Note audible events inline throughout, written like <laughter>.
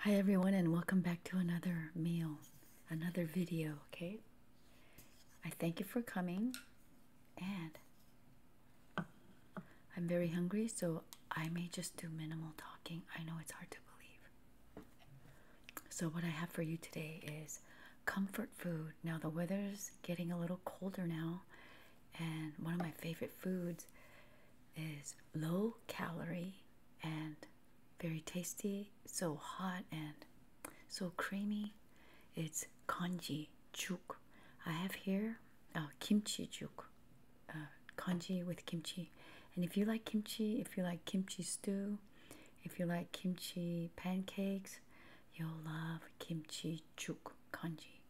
Hi everyone and welcome back to another meal, another video, okay? I thank you for coming and I'm very hungry so I may just do minimal talking. I know it's hard to believe. So what I have for you today is comfort food. Now the weather's getting a little colder now and one of my favorite foods is low calorie and very tasty, so hot and so creamy. It's konji juk. I have here uh, kimchi juk, uh, Konji with kimchi. And if you like kimchi, if you like kimchi stew, if you like kimchi pancakes, you'll love kimchi Chuk kanji.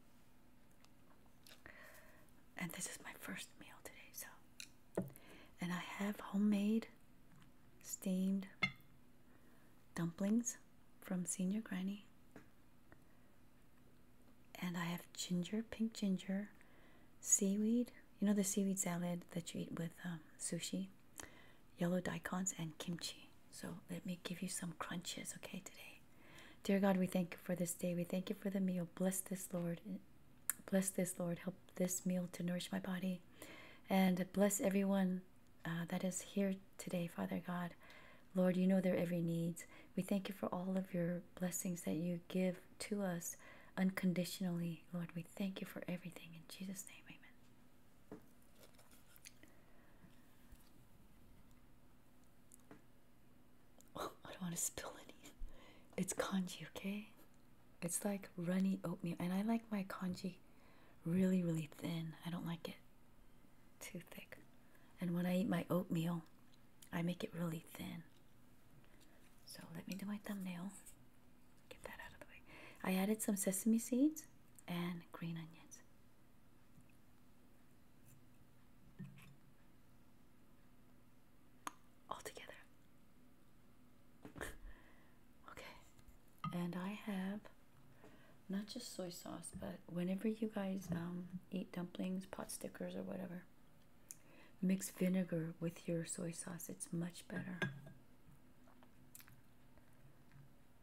And this is my first meal today, so. And I have homemade steamed dumplings from Senior Granny. And I have ginger, pink ginger, seaweed. You know the seaweed salad that you eat with um, sushi? Yellow daikon and kimchi. So let me give you some crunches, okay, today. Dear God, we thank you for this day. We thank you for the meal. Bless this, Lord. Bless this, Lord. Help this meal to nourish my body. And bless everyone uh, that is here today, Father God. Lord, you know their every needs. We thank you for all of your blessings that you give to us unconditionally. Lord, we thank you for everything. In Jesus' name, amen. I don't want to spill any. It's congee, okay? It's like runny oatmeal, and I like my congee really, really thin. I don't like it too thick. And when I eat my oatmeal, I make it really thin. So let me do my thumbnail. Get that out of the way. I added some sesame seeds and green onions all <laughs> okay, and I have not just soy sauce, but whenever you guys um, eat dumplings, pot stickers, or whatever, mix vinegar with your soy sauce. It's much better. And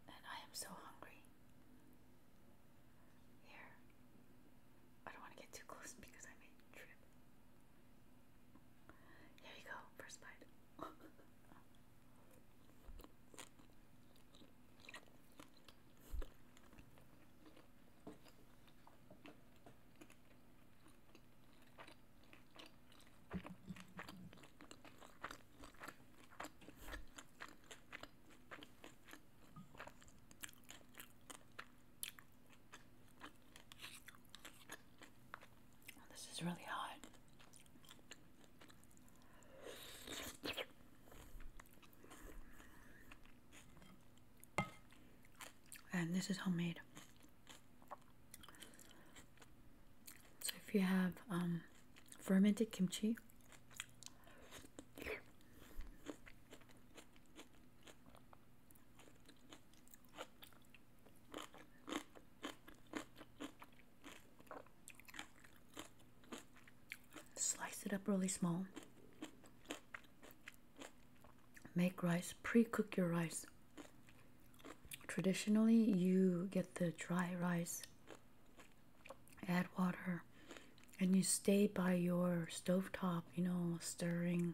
I am so hungry. Here. I don't want to get too close because I may trip. Here you go, first bite. Oh, this is really hot. And this is homemade. So if you have um, fermented kimchi, Slice it up really small. Make rice, pre cook your rice. Traditionally, you get the dry rice add water and you stay by your stovetop, you know, stirring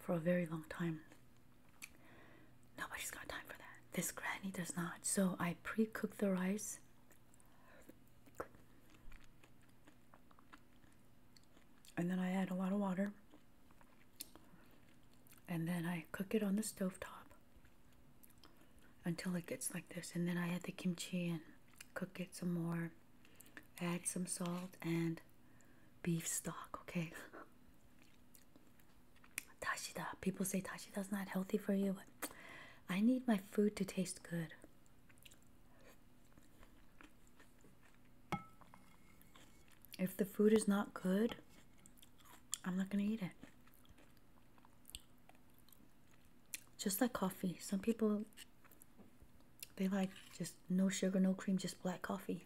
for a very long time. Nobody's got time for that. This granny does not. So I pre cook the rice. And then I add a lot of water. And then I cook it on the stovetop until it gets like this and then I add the kimchi and cook it some more add some salt and beef stock okay <laughs> tashida people say tashida's not healthy for you but I need my food to taste good if the food is not good I'm not gonna eat it just like coffee. Some people they like just no sugar, no cream, just black coffee.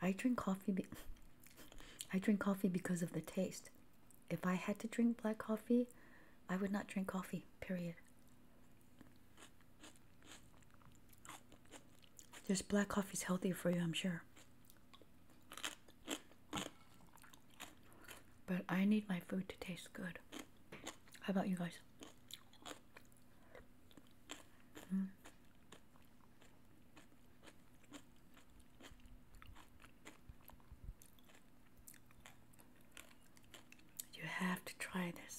I drink coffee <laughs> I drink coffee because of the taste. If I had to drink black coffee, I would not drink coffee, period. Just black coffee's healthier for you, I'm sure. But I need my food to taste good. How about you guys? Hmm? You have to try this.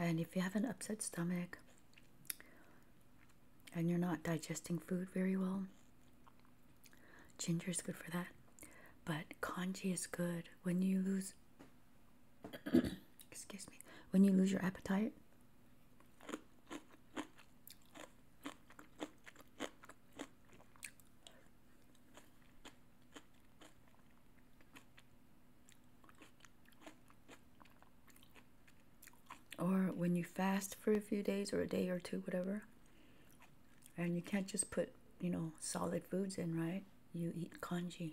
And if you have an upset stomach and you're not digesting food very well, ginger is good for that. But konji is good when you lose <coughs> excuse me, when you lose your appetite, or when you fast for a few days or a day or two, whatever, and you can't just put, you know, solid foods in, right? You eat konji.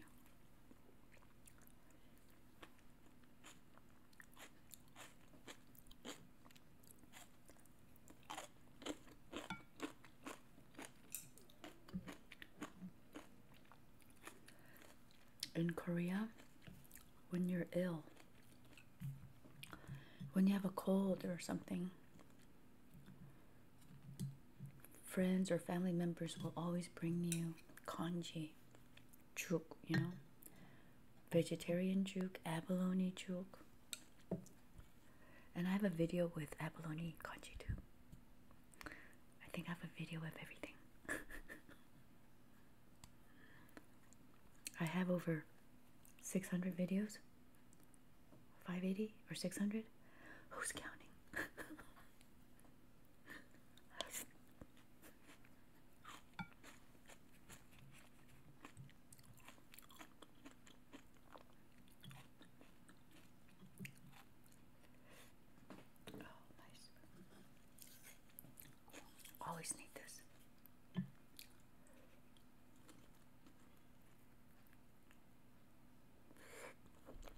In Korea, when you're ill, when you have a cold or something, friends or family members will always bring you congee Juke, you know, vegetarian Juke, abalone Juke, And I have a video with abalone congee too. I think I have a video of everything. <laughs> I have over 600 videos, 580 or 600. Who's counting? <laughs> Oh, nice. Always need this.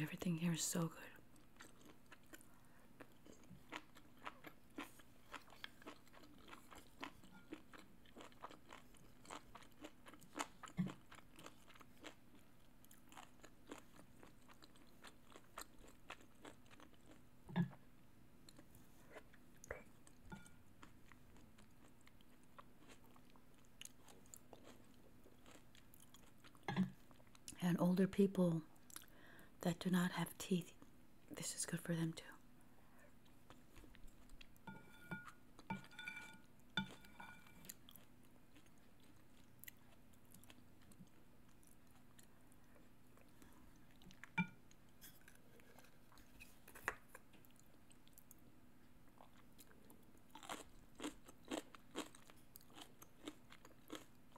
Everything here is so good. And older people that do not have teeth this is good for them too.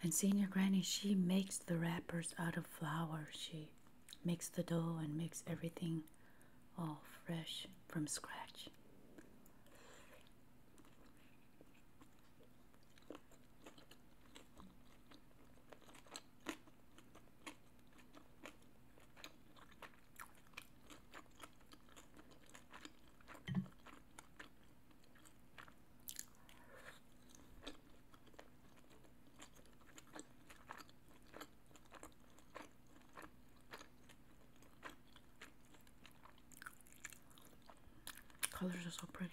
And senior granny, she makes the wrappers out of flour. She makes the dough and makes everything all fresh from scratch. Colors are so pretty.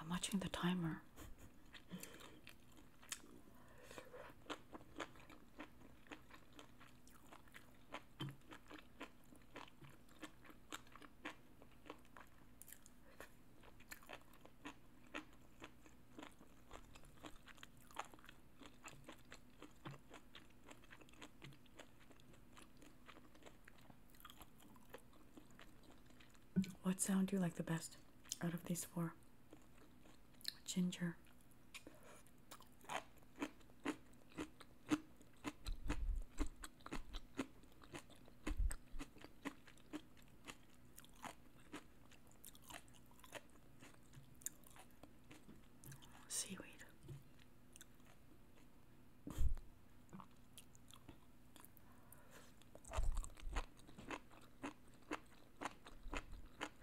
I'm watching the timer. What sound do you like the best out of these four? Ginger, Seaweed.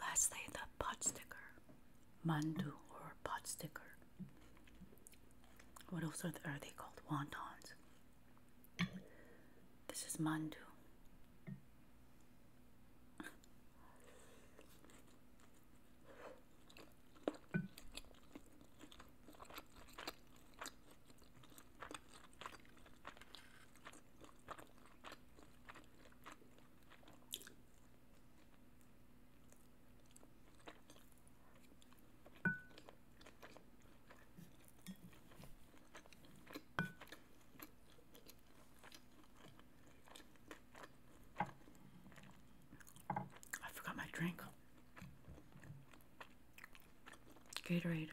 Lastly, the pot sticker, mandu or pot sticker. What else are they called? Wantons. This is mandu. I forgot my drink. Gatorade.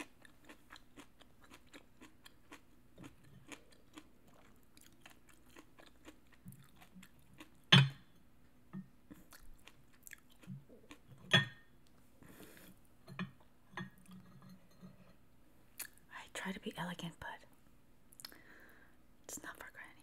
I try to be elegant, but it's not for granny.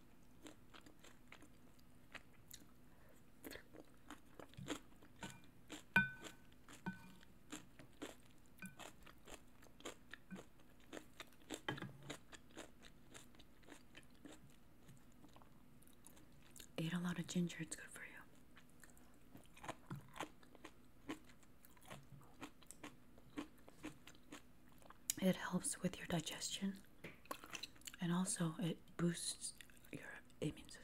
Eat a lot of ginger, it's good for you. It helps with your digestion and also it boosts your immune system.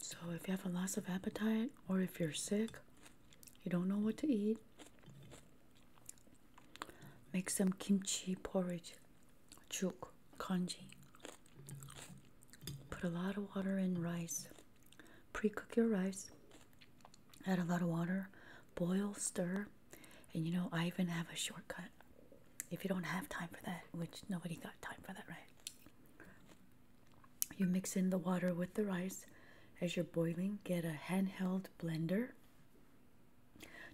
So, if you have a loss of appetite, or if you're sick, you don't know what to eat, make some kimchi porridge, chuk, kanji. Put a lot of water in rice. Pre cook your rice, add a lot of water, boil, stir, and you know, I even have a shortcut. If you don't have time for that, which nobody got time for that, right? You mix in the water with the rice. As you're boiling, get a handheld blender.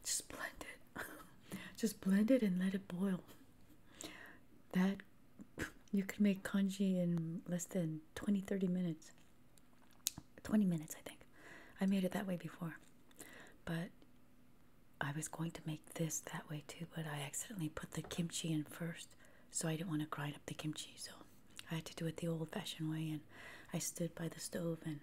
Just blend it. <laughs> Just blend it and let it boil. That you can make kanji in less than 20 30 minutes. 20 minutes, I think. I made it that way before, but I was going to make this that way too, but I accidentally put the kimchi in first, so I didn't want to grind up the kimchi, so I had to do it the old fashioned way, and I stood by the stove and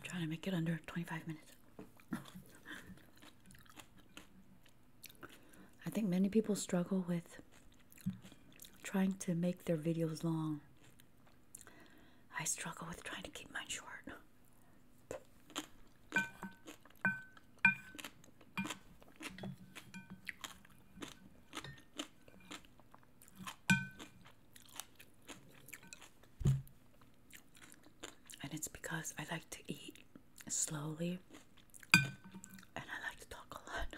I'm trying to make it under 25 minutes. I think many people struggle with trying to make their videos long. I struggle with trying to keep mine short. And it's because I like to eat slowly and I like to talk a lot.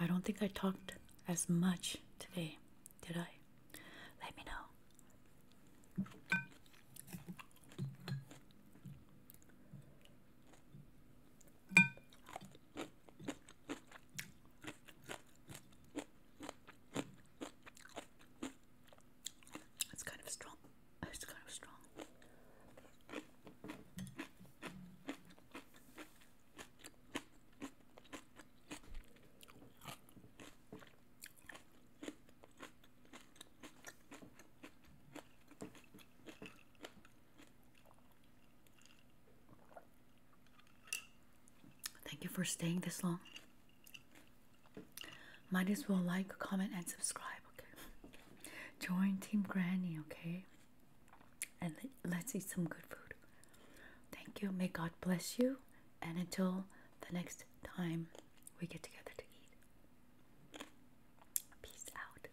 I don't think I talked as much today, did I? Let me know. It's kind of strong. It's kind of strong. Thank you for staying this long. Might as well like, comment, and subscribe. Okay, <laughs> join Team Granny. Okay, and let's eat some good food. Thank you. May God bless you. And until the next time we get together to eat, peace out.